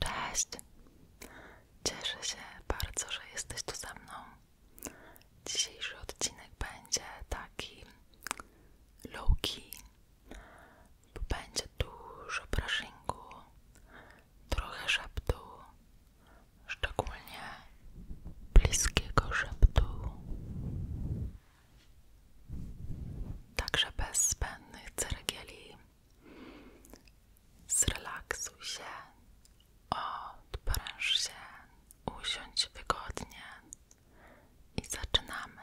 Cześć. Cieszę się bardzo, że jesteś tu ze mną. Dzisiejszy odcinek będzie taki low-key. Będzie dużo brushingu, trochę szeptu, szczególnie bliskiego szeptu, także bez zbędnych ceregieli. Zrelaksuj się, odpręż się, usiądź wygodnie i zaczynamy.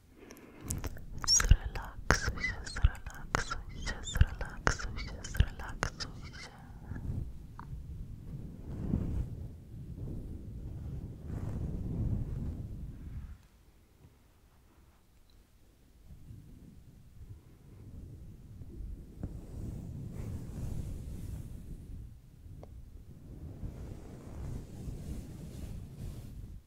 Zrelaksuj się, zrelaksuj się, zrelaksuj się, zrelaksuj się. Zrelaksuj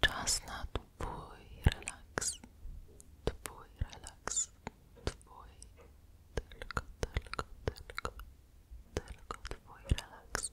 Czas na twój relax, twój relaks, twój, tylko, tylko, tylko, tylko twój relax.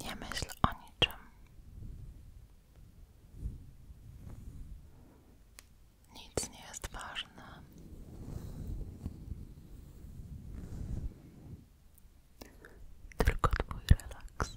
Nie myśl o niczym. Nic nie jest ważne. Tylko twój relaks.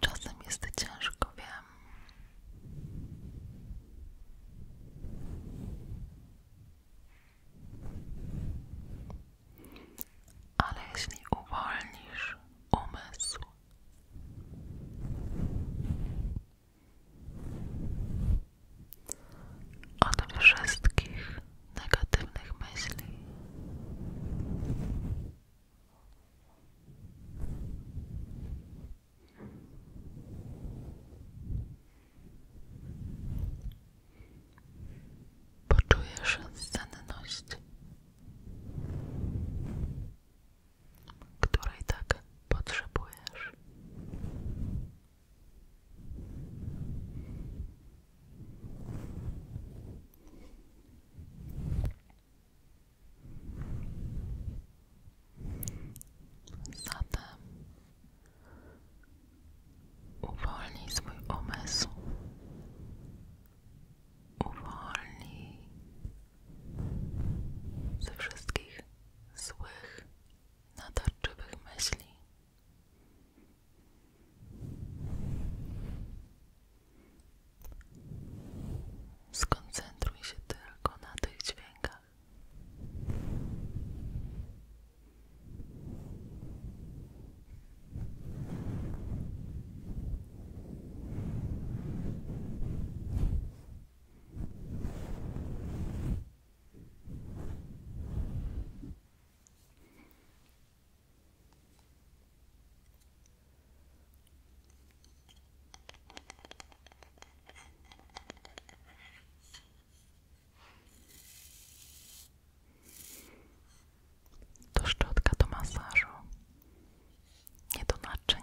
Czasem jest ciężko, wiem. Ale jeśli uwolnisz umysł, od wszystkich negatywnych myśli. Poczujesz senność której tak potrzebujesz. Zatem uwolnij swój umysł, uwolnij ze wszystkich złych, natarczywych myśli. Skoncentruj się tylko na tych dźwiękach. To szczotka do masażu, nie do naczyń.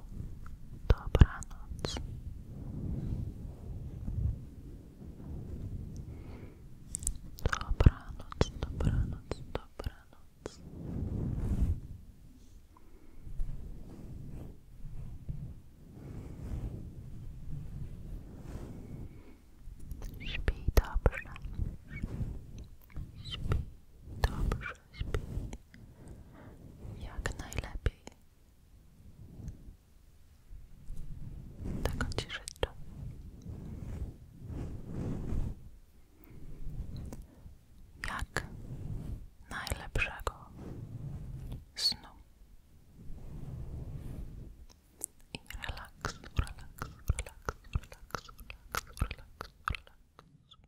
Dobranoc. Dobranoc, dobranoc, dobranoc. Śpi dobrze. Śpi dobrze jak najlepiej. Tego Ci życzę. Jak najlepszego snu i relaks, relaks, relaks, relaks, relaks, relaks, relaks.